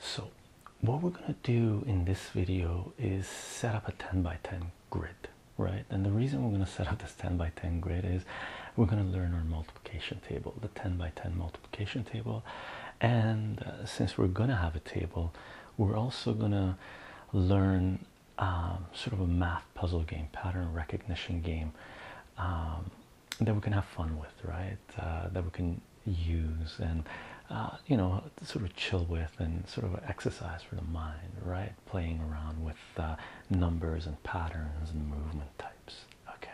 So what we're going to do in this video is set up a 10 by 10 grid, right? And the reason we're going to set up this 10 by 10 grid is we're going to learn our multiplication table, the 10 by 10 multiplication table. And uh, since we're going to have a table, we're also going to learn um, sort of a math puzzle game, pattern recognition game um, that we can have fun with, right? Uh, that we can use and uh, you know sort of chill with and sort of exercise for the mind, right? Playing around with uh, numbers and patterns and movement types. Okay,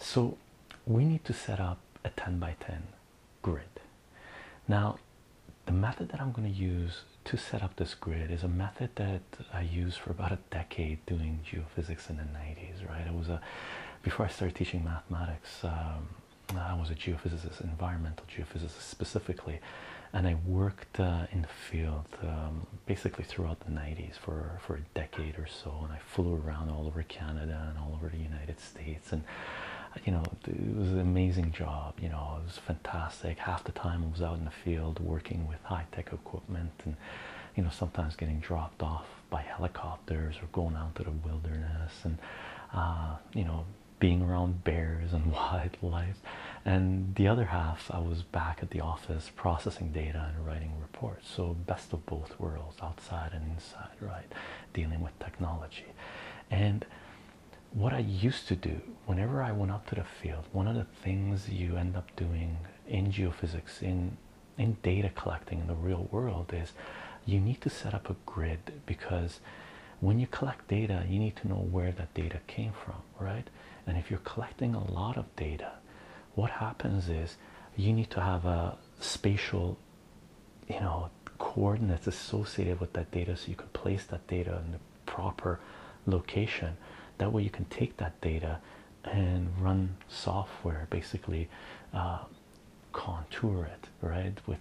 so we need to set up a 10 by 10 grid now, the method that I'm going to use to set up this grid is a method that I used for about a decade doing geophysics in the 90s, right? It was a before I started teaching mathematics, um, I was a geophysicist, environmental geophysicist specifically, and I worked uh, in the field um, basically throughout the 90s for, for a decade or so. And I flew around all over Canada and all over the United States and you know it was an amazing job. You know, it was fantastic. Half the time I was out in the field working with high tech equipment and, you know, sometimes getting dropped off by helicopters or going out to the wilderness and, uh, you know, being around bears and wildlife. And the other half, I was back at the office processing data and writing reports. So, best of both worlds, outside and inside, right? Dealing with technology. And what I used to do whenever I went up to the field, one of the things you end up doing in geophysics, in in data collecting in the real world, is you need to set up a grid because when you collect data, you need to know where that data came from, right? And if you're collecting a lot of data, what happens is you need to have a spatial, you know, coordinates associated with that data so you can place that data in the proper location that way you can take that data and run software basically uh, contour it right with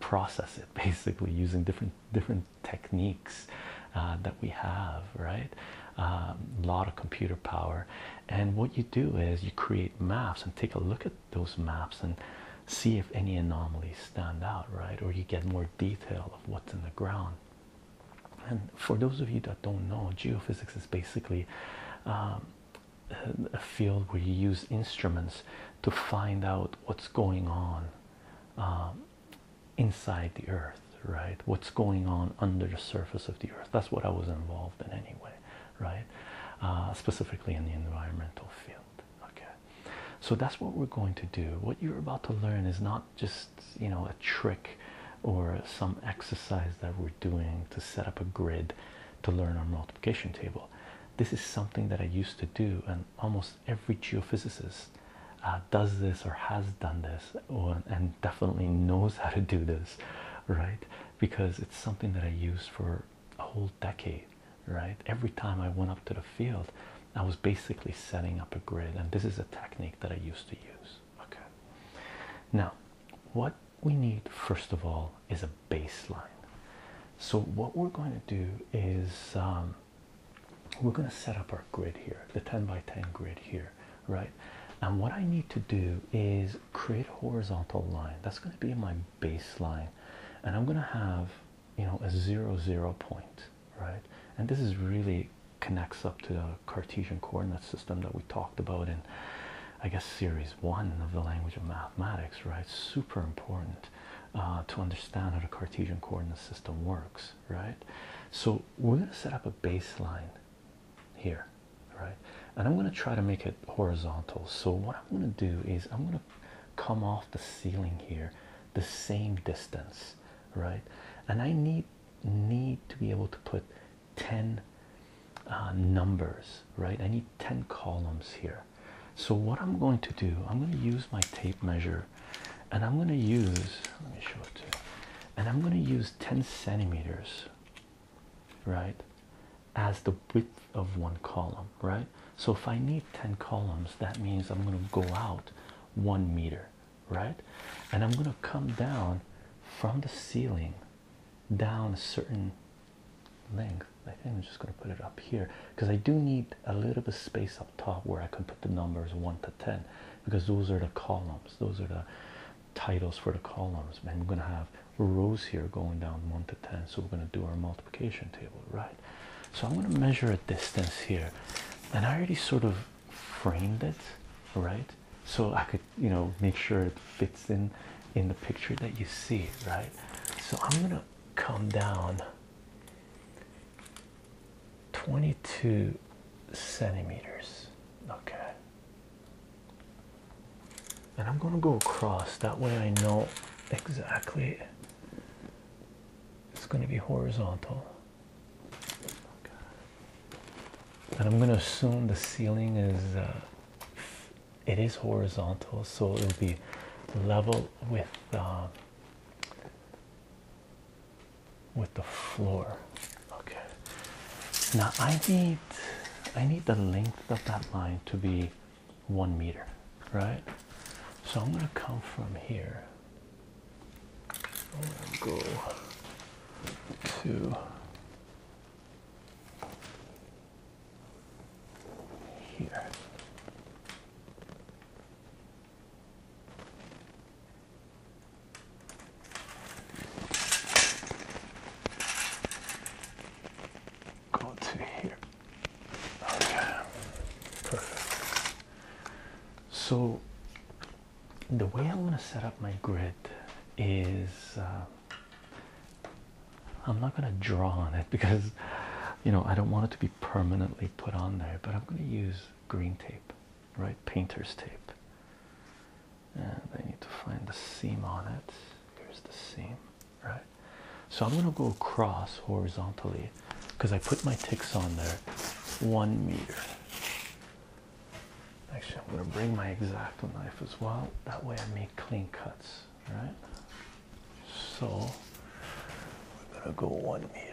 process it basically using different different techniques uh, that we have right a um, lot of computer power and what you do is you create maps and take a look at those maps and see if any anomalies stand out, right? Or you get more detail of what's in the ground. And for those of you that don't know, geophysics is basically um, a field where you use instruments to find out what's going on um, inside the earth, right? What's going on under the surface of the earth. That's what I was involved in anyway, right? Uh, specifically in the environmental field okay so that's what we're going to do what you're about to learn is not just you know a trick or some exercise that we're doing to set up a grid to learn our multiplication table this is something that i used to do and almost every geophysicist uh, does this or has done this and definitely knows how to do this right because it's something that i used for a whole decade right? Every time I went up to the field, I was basically setting up a grid, and this is a technique that I used to use. Okay, now what we need first of all is a baseline. So, what we're going to do is um, we're going to set up our grid here, the 10 by 10 grid here, right? And what I need to do is create a horizontal line that's going to be my baseline, and I'm going to have you know a zero zero point right and this is really connects up to the cartesian coordinate system that we talked about in i guess series one of the language of mathematics right super important uh, to understand how the cartesian coordinate system works right so we're going to set up a baseline here right and i'm going to try to make it horizontal so what i'm going to do is i'm going to come off the ceiling here the same distance right and i need need to be able to put 10 uh, numbers right i need 10 columns here so what i'm going to do i'm going to use my tape measure and i'm going to use let me show it to you and i'm going to use 10 centimeters right as the width of one column right so if i need 10 columns that means i'm going to go out one meter, right? And I'm gonna come down from the ceiling down a certain length. I think I'm just gonna put it up here because I do need a little bit of space up top where I can put the numbers one to ten because those are the columns, those are the titles for the columns. And I'm gonna have rows here going down one to ten, so we're gonna do our multiplication table, right? So I'm going to measure a distance here, and I already sort of framed it, right? So I could, you know, make sure it fits in in the picture that you see, right? So I'm going to come down 22 centimeters, okay. And I'm going to go across that way. I know exactly it's going to be horizontal and I'm gonna assume the ceiling is uh, it is horizontal, so it'll be level with um, with the floor. Okay. Now I need I need the length of that line to be one meter, right? So I'm gonna come from here go to here. Go to here. Okay, perfect. So, the way I'm going to set up my grid is uh, I'm not going to draw on it because you know I don't want it to be permanently put on there, but I'm going to use green tape, right? Painter's tape. And I need to find the seam on it. Here's the seam, right? So I'm going to go across horizontally because I put my ticks on there one meter. Actually, I'm going to bring my exacto knife as well. That way, I make clean cuts, right? So, we're going to go one meter.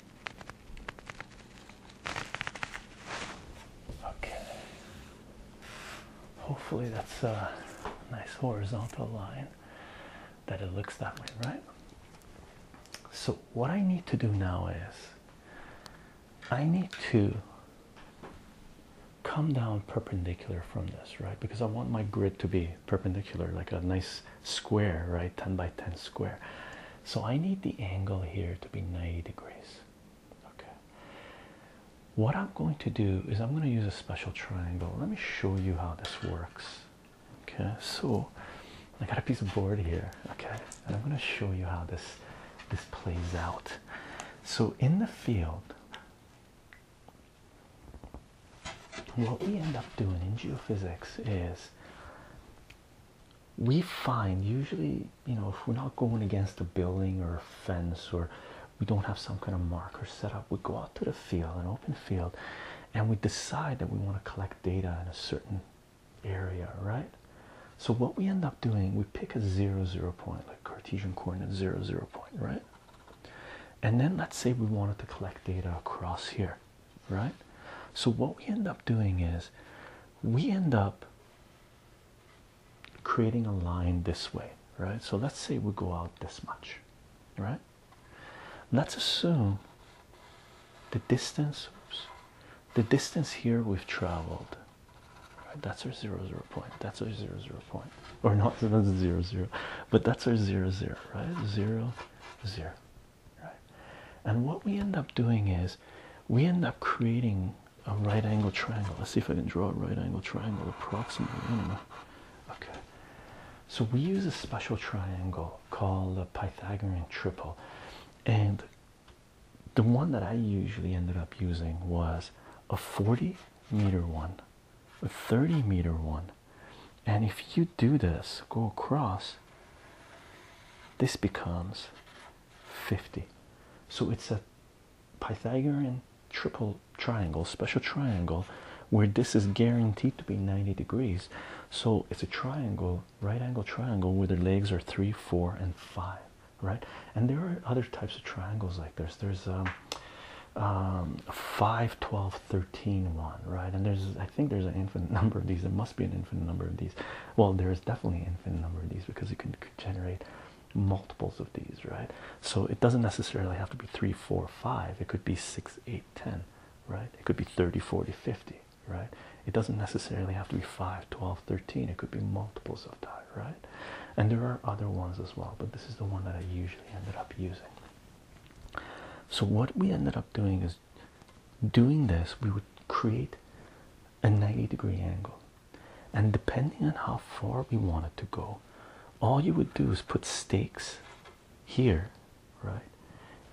Okay. Hopefully that's a nice horizontal line that it looks that way, right? So what I need to do now is I need to come down perpendicular from this, right? Because I want my grid to be perpendicular, like a nice square, right? 10 by 10 square. So I need the angle here to be 90 degrees. Okay. What I'm going to do is I'm going to use a special triangle. Let me show you how this works. Okay. So I got a piece of board here. Okay. And I'm going to show you how this this plays out. So in the field what we end up doing in geophysics is we find usually, you know, if we're not going against a building or a fence or we don't have some kind of marker set up, we go out to the field, an open field, and we decide that we want to collect data in a certain area, right? So what we end up doing, we pick a zero zero point, like Cartesian coordinate zero zero point, right? And then let's say we wanted to collect data across here right? So, what we end up doing is we end up creating a line this way, right? So, let's say we go out this much, right? Let's assume the distance, the distance here we've traveled. Right? That's our zero zero point. That's our zero zero point, or not that's zero zero, but that's our zero zero, right? Zero zero right? And what we end up doing is we end up creating a right angle triangle. Let's see if I can draw a right angle triangle approximately. Okay. So we use a special triangle called a Pythagorean triple. And the one that I usually ended up using was a 40 meter one, a 30 meter one. And if you do this, go across, this becomes 50. So it's a Pythagorean triple triangle, special triangle, where this is guaranteed to be 90 degrees. So it's a triangle, right angle triangle, where the legs are 3, 4, and 5, right? And there are other types of triangles like this. There's um, um, 5, 12, 13 one, right? And there's, I think there's an infinite number of these. There be an infinite number of these. Well, there is definitely an infinite number of these because you can generate multiples of these, right? So it doesn't necessarily have to be 3, 4, 5. It could be 6, 8, 10, right? It could be 30, 40, 50, right? It doesn't necessarily have to be 5, 12, 13. It could be multiples of that, right? And there are other ones as well, but this is the one that I usually ended up using. So what we ended up doing is doing this, we would create a 90 degree angle. And depending on how far we want it to go, all you would do is put stakes here, right?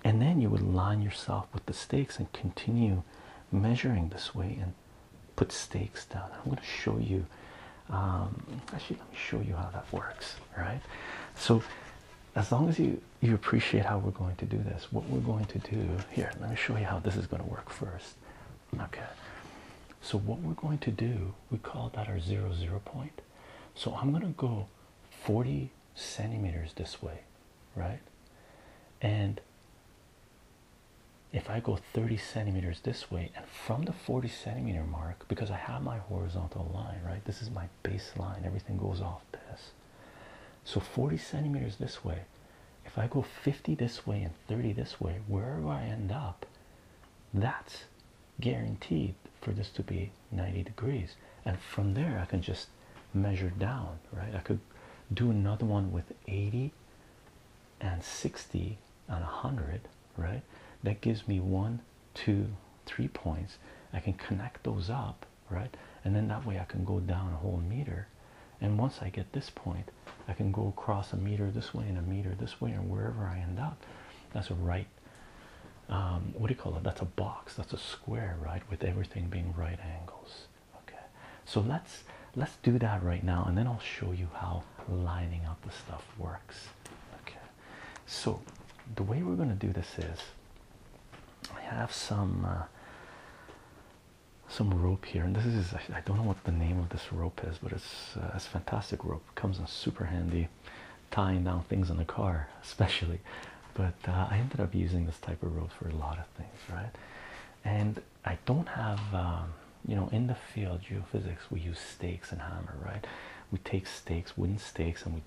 And then you would line yourself with the stakes and continue measuring this way and put stakes down. I'm going to show you. Um, actually, let me show you how that works, right? So, as long as you you appreciate how we're going to do this. What we're going to do here, let me show you how this is going to work first. Okay, so what we're going to do, we call that our zero zero point. So I'm going to go 40 centimeters this way, right? And if I go 30 centimeters this way, and from the 40 centimeter mark, because I have my horizontal line, right? This is my baseline, everything goes off this. So 40 centimeters this way. If I go 50 this way and 30 this way, wherever I end up, that's guaranteed for this to be 90 degrees. And from there, I can just measure down, right? I could do another one with 80 and 60 and 100, right? That gives me one, two, three points. I can connect those up right? And then that way I can go down a whole meter. And once I get this point, I can go across a meter this way and a meter this way, and wherever I end up, that's a right. Um, what do you call it? That's a box. That's a square, right? With everything being right angles. Okay. So let's let's do that right now, and then I'll show you how lining up the stuff works. Okay. So the way we're going to do this is, I have some. Uh, some rope here and this is I don't know what the name of this rope is but it's uh, it's fantastic rope comes in super handy tying down things in the car especially but uh, I ended up using this type of rope for a lot of things right and I don't have um, you know in the field geophysics we use stakes and hammer right we take stakes wooden stakes and we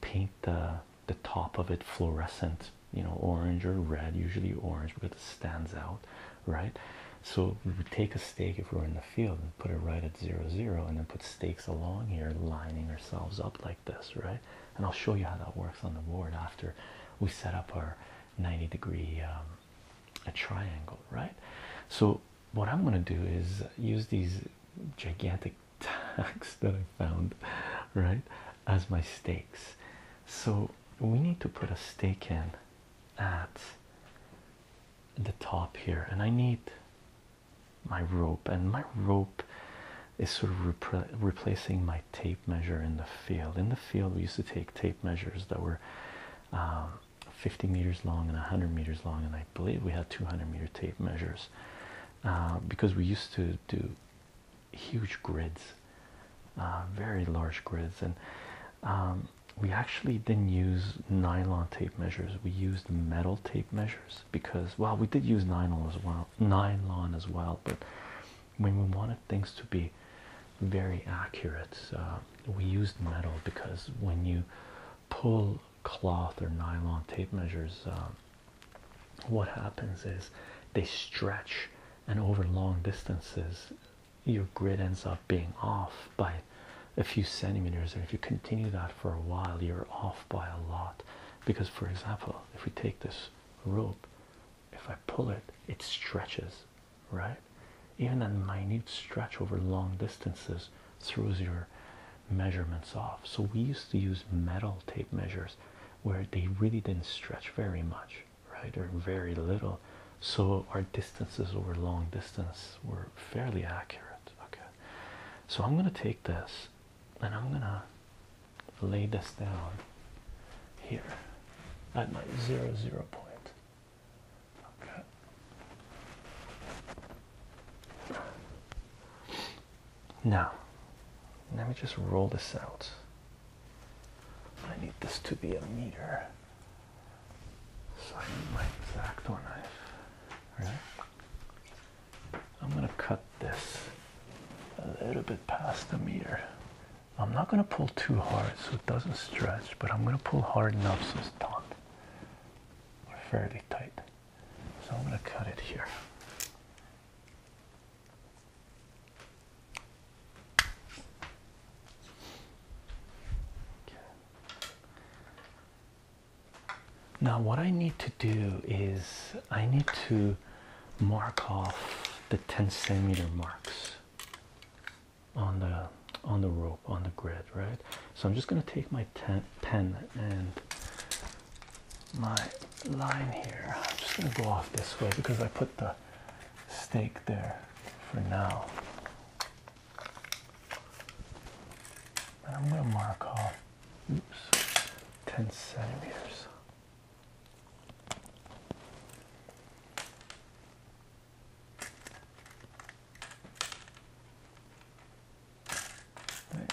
paint the the top of it fluorescent, you know, orange or red, usually orange because it stands out, right? So we take a stake if we are in the field and put it right at zero zero and then put stakes along here lining ourselves up like this, right? And I'll show you how that works on the board after we set up our 90 degree um, a triangle, right? So what I'm gonna do is use these gigantic tags that I found, right, as my stakes. So we need to put a stake in at the top here, and I need my rope, and my rope is sort of replacing my tape measure in the field. In the field, we used to take tape measures that were um, 50 meters long and 100 meters long, and I believe we had 200 meter tape measures uh, because we used to do huge grids, uh, very large grids, and um, we actually didn't use nylon tape measures. We used metal tape measures because, well, we did use nylon as well, nylon as well, but when we wanted things to be very accurate, uh, we used metal because when you pull cloth or nylon tape measures, um, what happens is they stretch and over long distances your grid ends up being off by a few centimeters and if you continue that for a while you're off by a lot because for example if we take this rope if i pull it it stretches right even that minute stretch over long distances throws your measurements off so we used to use metal tape measures where they really didn't stretch very much right or very little so our distances over long distance were fairly accurate okay so i'm going to take this and i'm going to lay this down here at my zero zero point okay now, let me just roll this out. I need this to be a meter. So I need my exacto knife. Right? I'm gonna cut this a little bit past the meter. I'm not gonna pull too hard so it doesn't stretch, but I'm gonna pull hard enough so it's taut or fairly tight. So I'm gonna cut it here. Now what I need to do is I need to mark off the 10 centimeter marks on the on the rope on the grid right so i'm just going to take my pen and my line here i'm just going to go off this way because i put the Stake there for now. And I'm going to mark off oops, 10 centimeters. Right.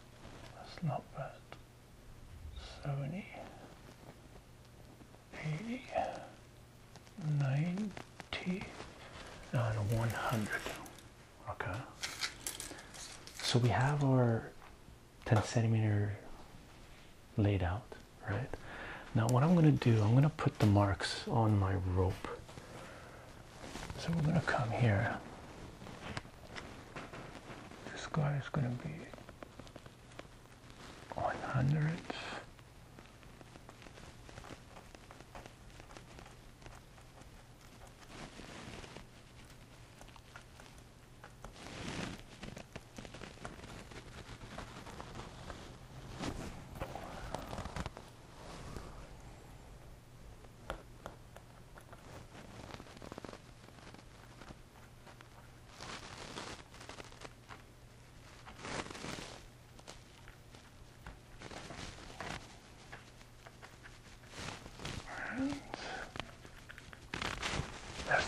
That's not bad. Seventy. Eighty. Ninety. And one hundred. Okay. So we have our 10 centimeter laid out, right? Now what I'm gonna do, I'm gonna put the marks on my rope. So we're gonna come here this guy is going to be on all right. Yes.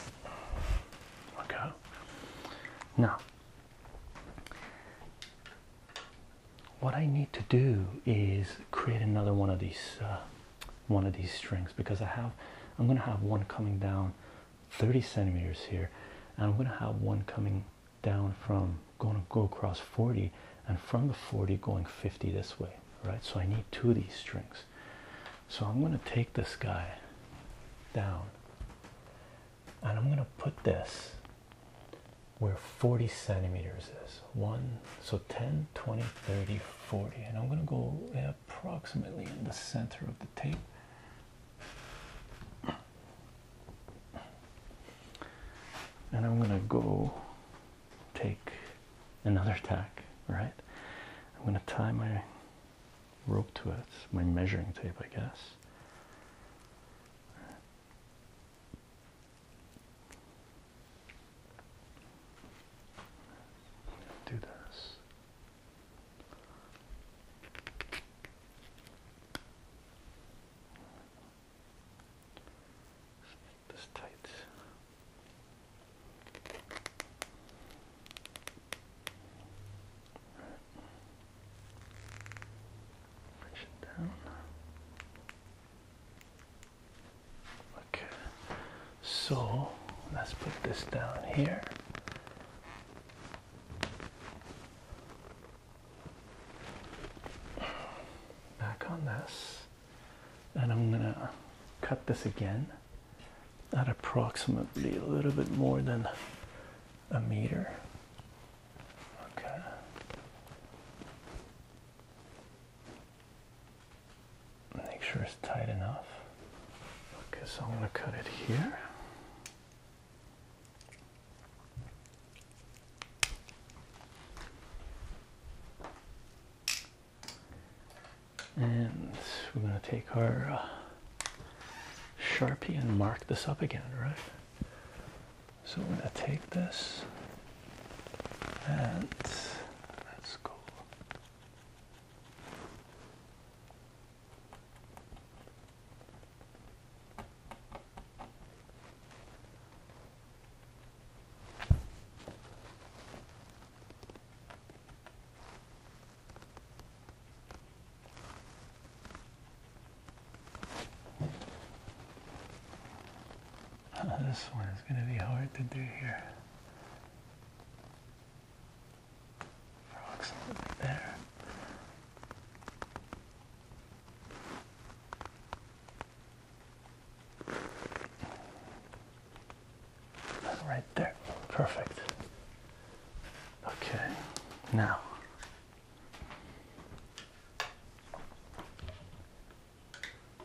Okay. Now, what I need to do is create another one of these uh, one of these strings because I have I'm gonna have one coming down 30 centimeters here and I'm gonna have one coming down from going to go across 40 and from the 40 going 50 this way right so I need two of these strings so I'm gonna take this guy down and I'm gonna put this where 40 centimeters is 1 so 10 20 30 40 and i'm going to go approximately in the center of the tape and i'm going to go take another tack right i'm going to tie my rope to it my measuring tape i guess do this. This tight. Push it down. Okay, so let's put this down here. Back on this, and I'm gonna cut this again at approximately a little bit more than a meter. Okay make sure it's tight enough. Okay, so I'm going to cut it here. And we're going to take our uh, Sharpie and mark this up again, right? So we're going to take this and let's go. Uh, this one is going to be hard to do here. For approximately there. Right there. Perfect. Okay. Now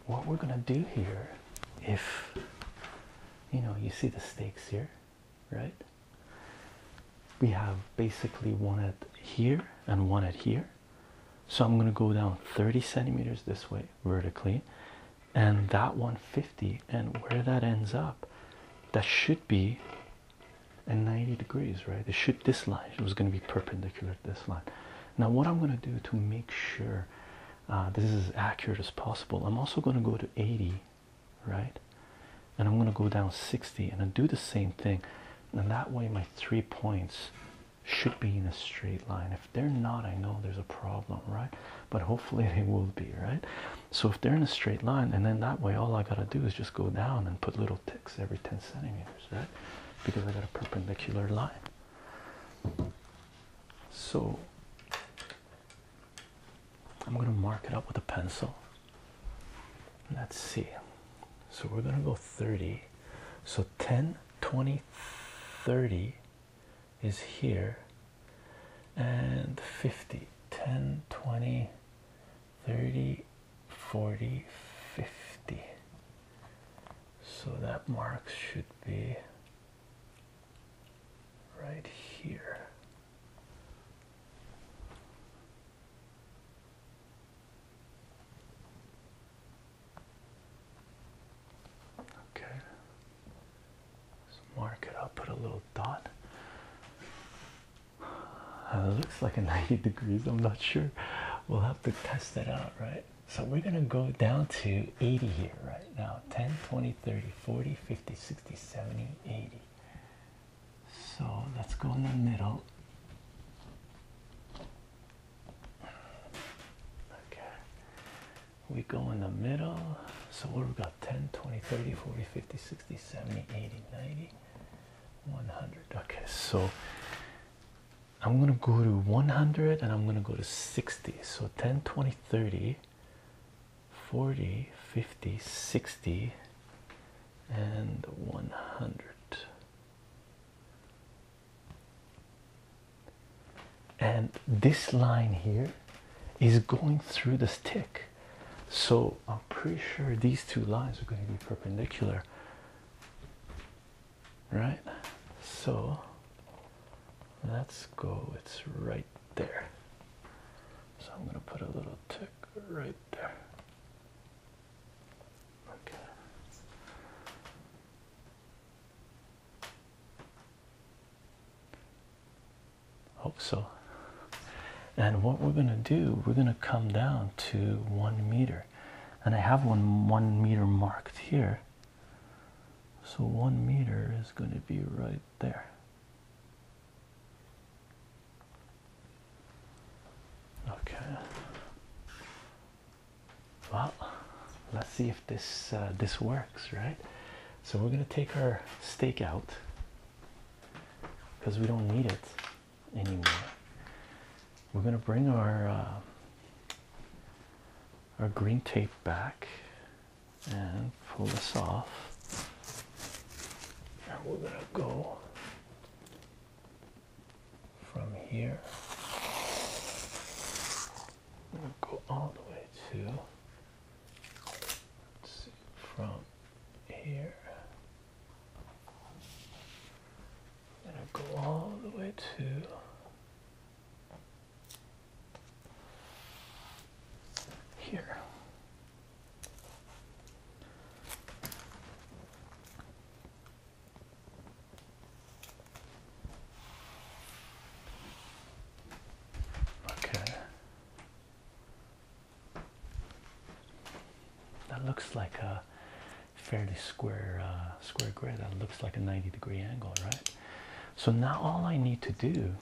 what we're gonna do here if you know you see the stakes here right we have basically one at here and one at here so i'm going to go down 30 centimeters this way vertically and that 150 and where that ends up that should be at 90 degrees right it should this line was going to be perpendicular to this line now what i'm going to do to make sure uh, this is as accurate as possible. I'm also going to go to 80, right? And I'm going to go down 60 and I do the same thing. And that way, my three points should be in a straight line. If they're not, I know there's a problem, right? But hopefully, they will be, right? So, if they're in a straight line, and then that way, all I got to do is just go down and put little ticks every 10 centimeters, right? Because I got a perpendicular line. So I'm going to mark it up with a pencil. Let's see. So we're going to go 30. So 10, 20, 30 is here and 50. 10, 20, 30, 40, 50. So that mark should be right here. Okay. mark it. I'll put a little dot. Uh, looks like a 90 degrees. I'm not sure. We'll have to test that out, right? so we're going to go down to 80 here right now 10 20 30 40 50 60 70 80 so let's go in the middle okay we go in the middle so we've got 10 20 30 40 50 60 70 80 90 100 okay so I'm gonna go to 100 and I'm gonna go to 60 so 10 20 30 40 50 60 and 100 and this line here is going through the stick so I'm pretty sure these two lines are going to be perpendicular right? So let's go, it's right there. So I'm going to put a little tick right there. Okay. Hope so. And what we're going to do, we're going to come down to one meter. And I have one one meter marked here. So one meter is going to be right there. Okay. Well, let's see if this uh, this works, right? So we're gonna take our stake out because we don't need it anymore. We're gonna bring our uh, our green tape back and pull this off. And we're gonna go from here. We'll go all the way to from here. I'm gonna go all the way to here. Okay. That looks like a fairly square uh, square grid. That looks like a 90 degree angle, right? So now all I need to do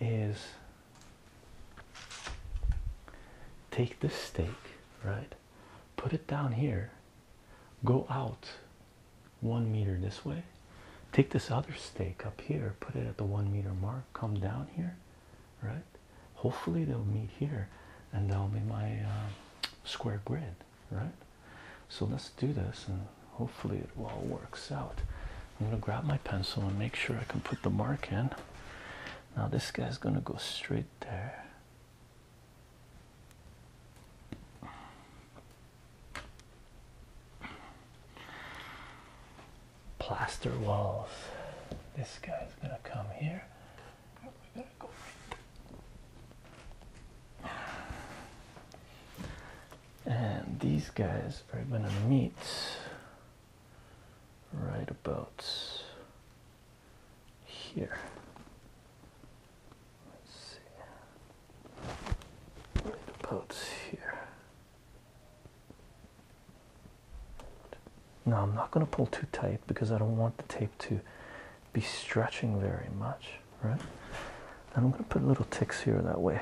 is take this stake, right? Put it down here, go out one meter this way, take this other stake up here, put it at the one meter mark, come down here, right? Hopefully, they'll meet here, and that'll be my uh, square grid right? So let's do this and hopefully it all works out. I'm going to grab my pencil and make sure I can put the mark in. Now this guy's going to go straight there. Plaster walls. This guy's going to come here. We're going to go right and these guys are going to meet right about here. Let's see. about here. Now I'm not going to pull too tight because I don't want the tape to be stretching very much right? And I'm going to put little ticks here that way.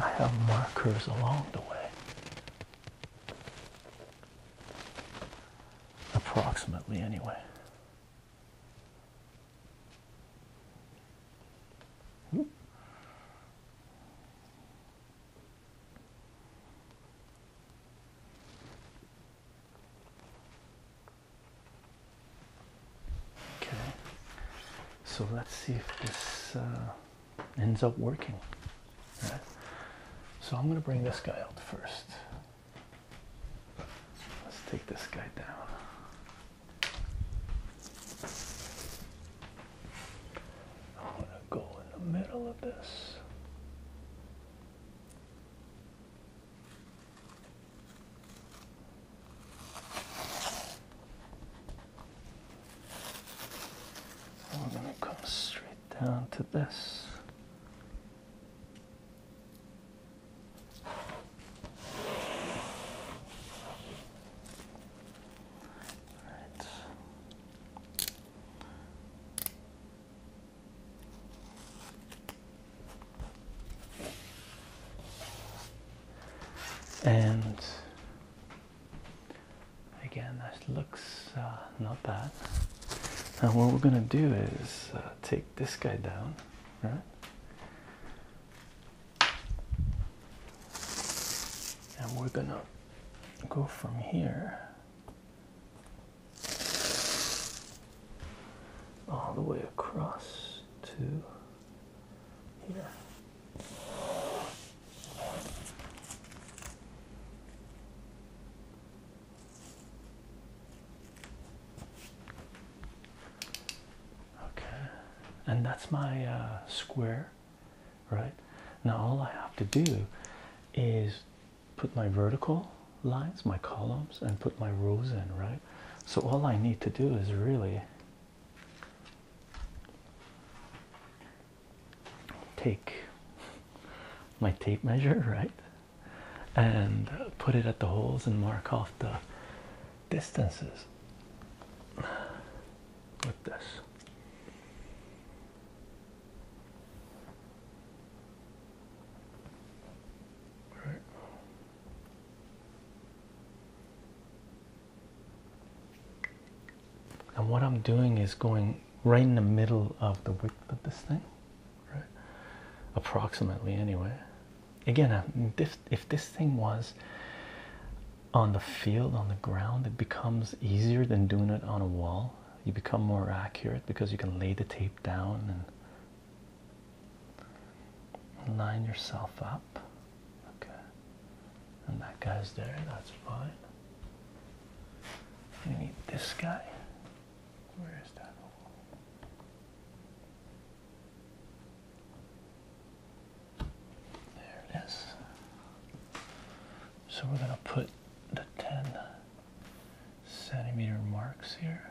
I have markers along the way. Approximately, anyway. Okay, so let's see if this uh, ends up working. So I'm going to bring this guy out first. Let's take this guy down. I'm going to go in the middle of this. I'm going to come straight down to this. Right and again that looks uh, not bad now what we're gonna do is uh, take this guy down and we're gonna go from here all the way across to here. Okay, and that's my uh, square, right? Now all I have to do is put my vertical lines my columns and put my rows in right so all I need to do is really take my tape measure right and put it at the holes and mark off the distances with this right and what I'm doing is going right in the middle of the width of this thing, right? Approximately, anyway. Again, if, if this thing was on the field, on the ground, it becomes easier than doing it on a wall. You become more accurate because you can lay the tape down and Line yourself up. Okay. And that guy's there, that's fine. We need this guy. Where is that? There it is. So we're going to put the 10 centimeter marks here.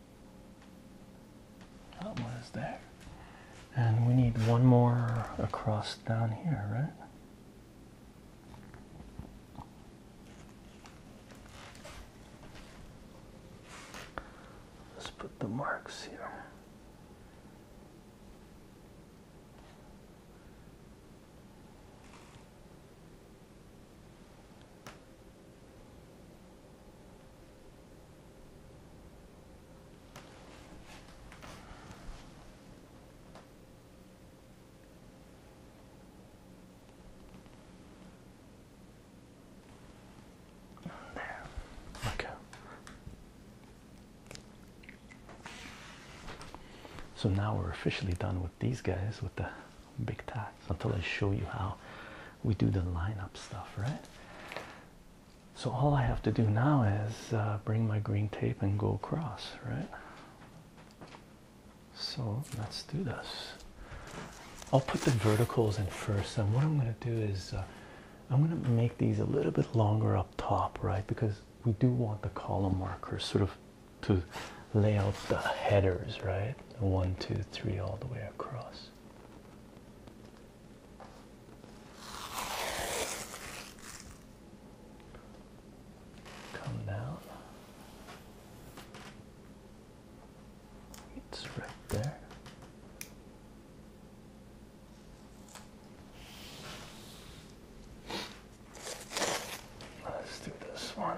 That oh, one is there. And we need one more across down here, right? Let's put the marks here. Okay. So now we're officially done with these guys with the big tags until I show you how we do the lineup stuff, right? So all I have to do now is uh, bring my green tape and go across, right? So let's do this. I'll put the verticals in first, and what I'm going to do is uh, I'm going to make these a little bit longer up top, right? Because we do want the column markers sort of to lay out the headers, right? One, two, three, all the way across. Come down. It's right there. Let's do this one.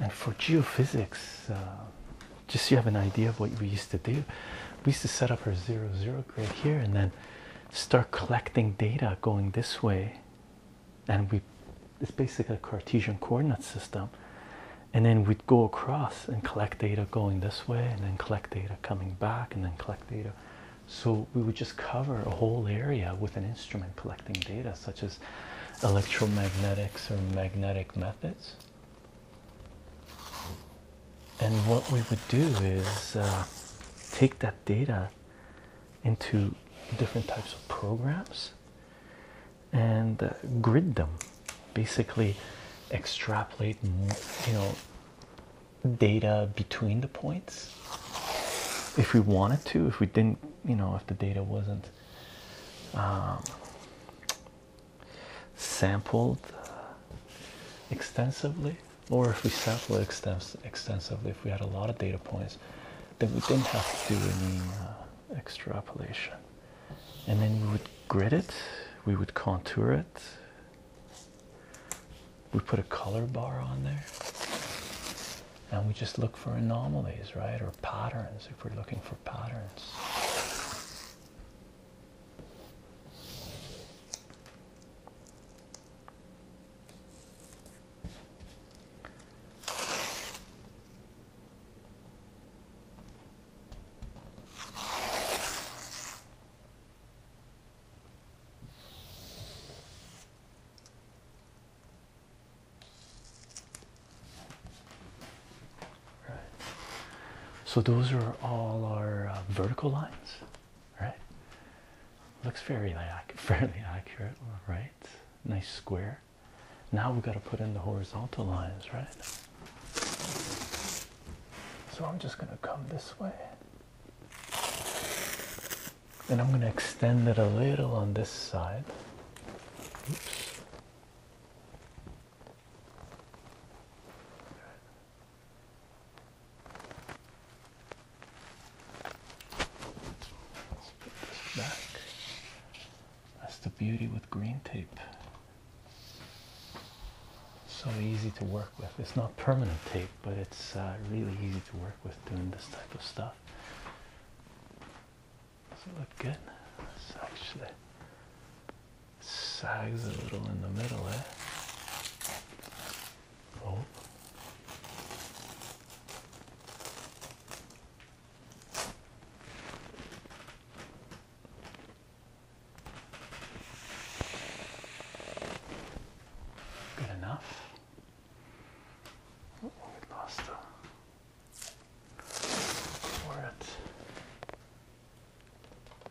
And for geophysics, uh, just so you have an idea of what we used to do, we used to set up our zero zero grid here and then start collecting data going this way and we it's basically a Cartesian coordinate system and then we'd go across and collect data going this way and then collect data coming back and then collect data so we would just cover a whole area with an instrument collecting data such as electromagnetics or magnetic methods and what we would do is uh, take that data into different types of programs and uh, grid them basically extrapolate you know data between the points if we wanted to if we didn't you know if the data wasn't um, sampled extensively or if we sample it extensively, if we had a lot of data points, then we didn't have to do any uh, extrapolation. And then we would grid it, we would contour it, we put a color bar on there, and we just look for anomalies, right? Or patterns if we're looking for patterns. So those are all our uh, vertical lines right? Looks fairly fairly accurate, right? Nice square. Now we've got to put in the horizontal lines, right? So I'm just going to come this way. And I'm going to extend it a little on this side. Oops. That's the beauty with green tape. So easy to work with. It's not permanent tape, but it's uh, really easy to work with doing this type of stuff. Does it look good? It's actually sags a little in the middle, eh? Oh. Good enough. Oh, we lost the for it.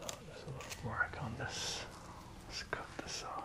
there's a little work on this. Let's cut this off.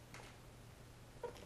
Recover this.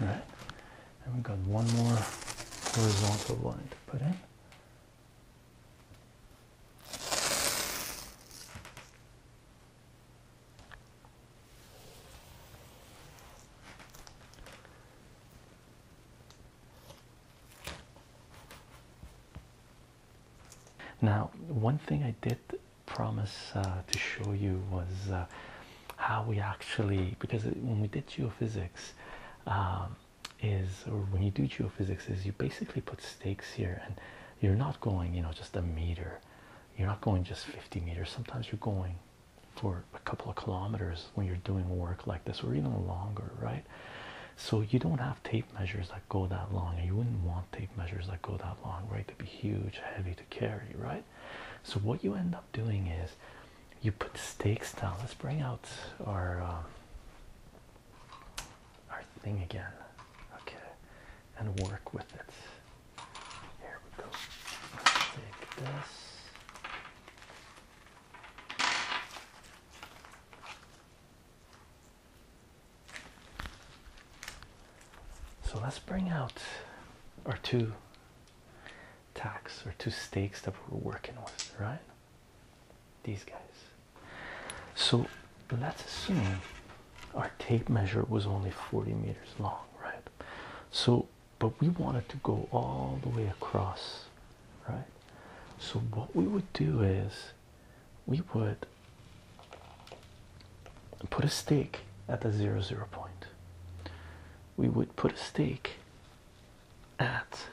All right and we've got one more horizontal line to put in now, one thing I did promise uh, to show you was uh, how we actually because when we did geophysics, um, is or when you do geophysics, is you basically put stakes here and you're not going, you know, just a meter, you're not going just 50 meters, sometimes you're going for a couple of kilometers when you're doing work like this, or even longer, right? So you don't have tape measures that go that long, and you wouldn't want tape measures that go that long, right? They'd be huge, heavy to carry, right? So what you end up doing is you put stakes down. Let's bring out our um, our thing again, okay, and work with it. Here we go. take this. So let's bring out our two tacks or two stakes that we're working with, right? These guys. So let's assume our tape measure was only 40 meters long, right? So but we wanted to go all the way across, right? So, what we would do is we would put a stake at the zero zero point, we would put a stake at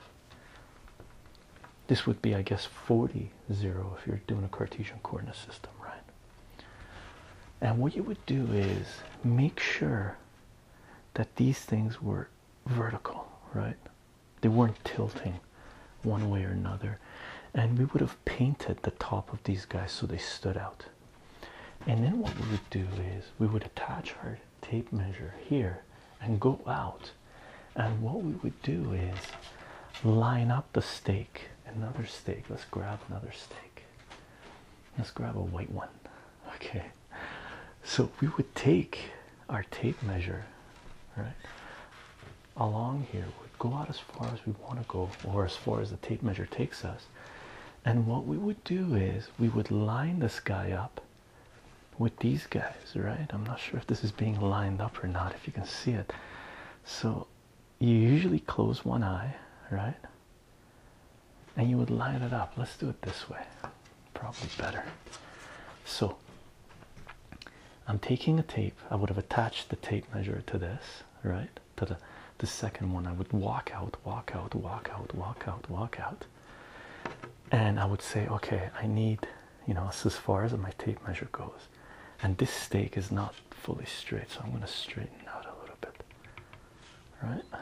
this would be, I guess, 40 zero if you're doing a Cartesian coordinate system, right? And what you would do is make sure that these things were vertical, right? They weren't tilting one way or another, and we would have painted the top of these guys so they stood out. And then what we would do is we would attach our tape measure here and go out. And what we would do is line up the stake. Another stake. Let's grab another stake. Let's grab a white one. Okay. So we would take our tape measure, right? Along here, we would go out as far as we want to go, or as far as the tape measure takes us. And what we would do is we would line this guy up with these guys, right? I'm not sure if this is being lined up or not, if you can see it. So you usually close one eye, right? and you would line it up. Let's do it this way, probably better. So, I'm taking a tape, I would have attached the tape measure to this, right? To the, the second one, I would walk out, walk out, walk out, walk out, walk out, and I would say, okay, I need you know, it's as far as my tape measure goes. And this stake is not fully straight, so I'm going to straighten out a little bit, right?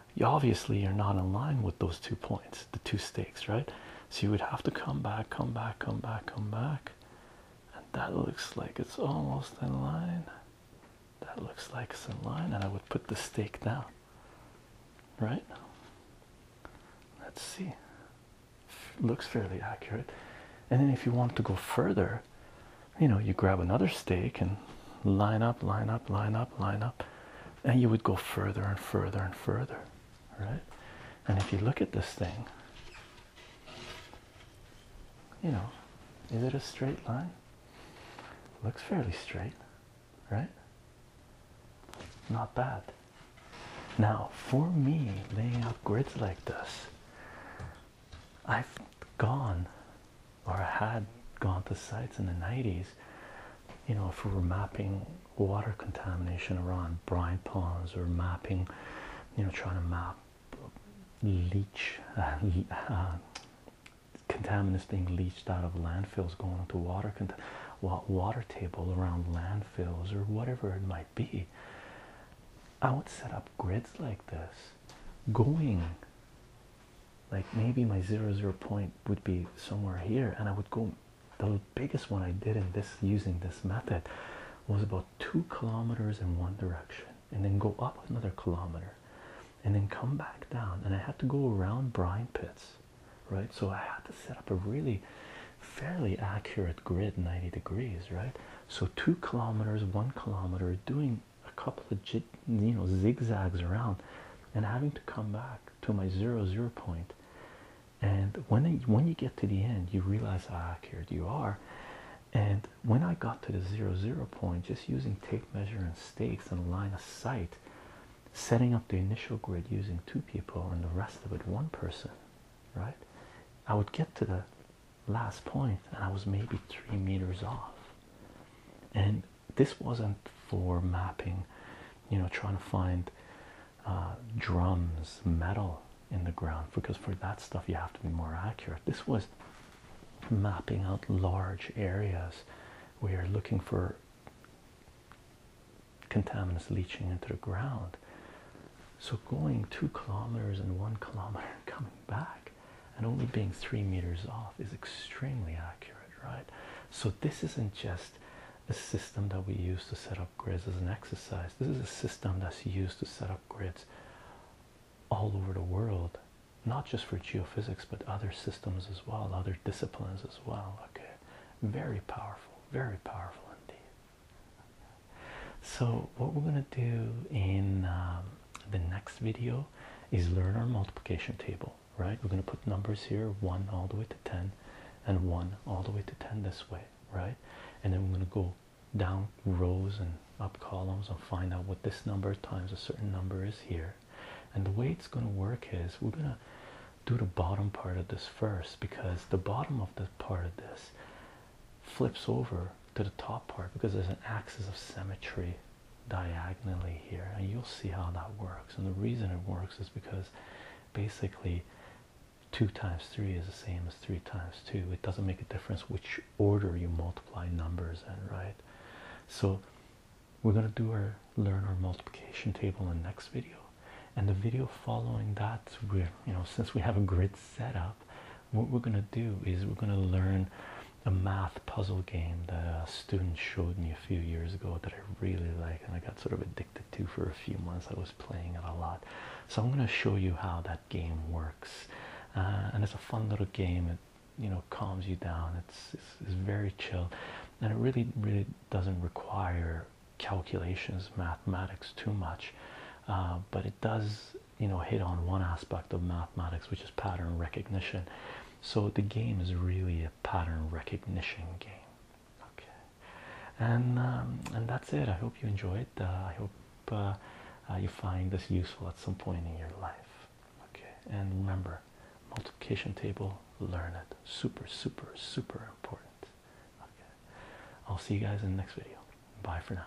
obviously you're not in line with those two points, the two stakes, right? So you would have to come back, come back, come back, come back. And that looks like it's almost in line. That looks like it's in line, and I would put the stake down. Right? Let's see. Looks fairly accurate. And then if you want to go further, you know, you grab another stake and line up, line up, line up, line up, and you would go further and further and further, right? And if you look at this thing, you know, is it a straight line? Looks fairly straight, right? Not bad. Now, for me, laying out grids like this, I've gone or had gone to sites in the 90s, you know, if we were mapping water contamination around brine ponds or mapping, you know, trying to map leach uh, uh, contaminants being leached out of landfills going into water water table around landfills or whatever it might be. I would set up grids like this, going like maybe my zero zero point would be somewhere here and I would go the biggest one I did in this using this method was about two kilometers in one direction and then go up another kilometer and then come back down and I had to go around brine pits right so I had to set up a really fairly accurate grid 90 degrees right so two kilometers one kilometer doing a couple of you know zigzags around and having to come back to my zero zero point and when when you get to the end you realize how accurate you are and when i got to the zero zero point just using tape measure and stakes and a line of sight setting up the initial grid using two people and the rest of it one person right i would get to the last point and i was maybe three meters off and this wasn't for mapping you know trying to find uh, drums metal in the ground because for that stuff you have to be more accurate this was mapping out large areas we are looking for contaminants leaching into the ground so going two kilometers and one kilometer coming back and only being three meters off is extremely accurate right? So this isn't just a system that we use to set up grids as an exercise. This is a system that's used to set up grids all over the world, not just for geophysics, but other systems as well, other disciplines as well. Okay, very powerful, very powerful indeed. So, what we're going to do in um, the next video is learn our multiplication table right? We're going to put numbers here 1 all the way to 10 and 1 all the way to 10 this way, right? And then we're going to go down rows and up columns and find out what this number times a certain number is here. And the way it's going to work is we're going to do the bottom part of this first because the bottom of the part of this flips over to the top part because there's an axis of symmetry diagonally here and you'll see how that works and the reason it works is because basically 2 times 3 is the same as 3 times 2 it doesn't make a difference which order you multiply numbers in right so we're going to do our learn our multiplication table in the next video and the video following that we're you know since we have a grid set up what we're going to do is we're going to learn a math puzzle game that a uh, student showed me a few years ago that I really like and I got sort of addicted to for a few months. I was playing it a lot. So I'm going to show you how that game works. Uh, and it's a fun little game. It, you know, calms you down. It's, it's, very chill. And it really, really doesn't require calculations, mathematics too much. Uh, but it does, you know, hit on one aspect of mathematics, which is pattern recognition. So the game is really pattern recognition game. Okay, and um, and that's it. I hope you enjoyed. Uh, I hope uh, uh, you find this useful at some point in your life. Okay, and remember, multiplication table. Learn it. Super, super, super important. Okay, I'll see you guys in the next video. Bye for now.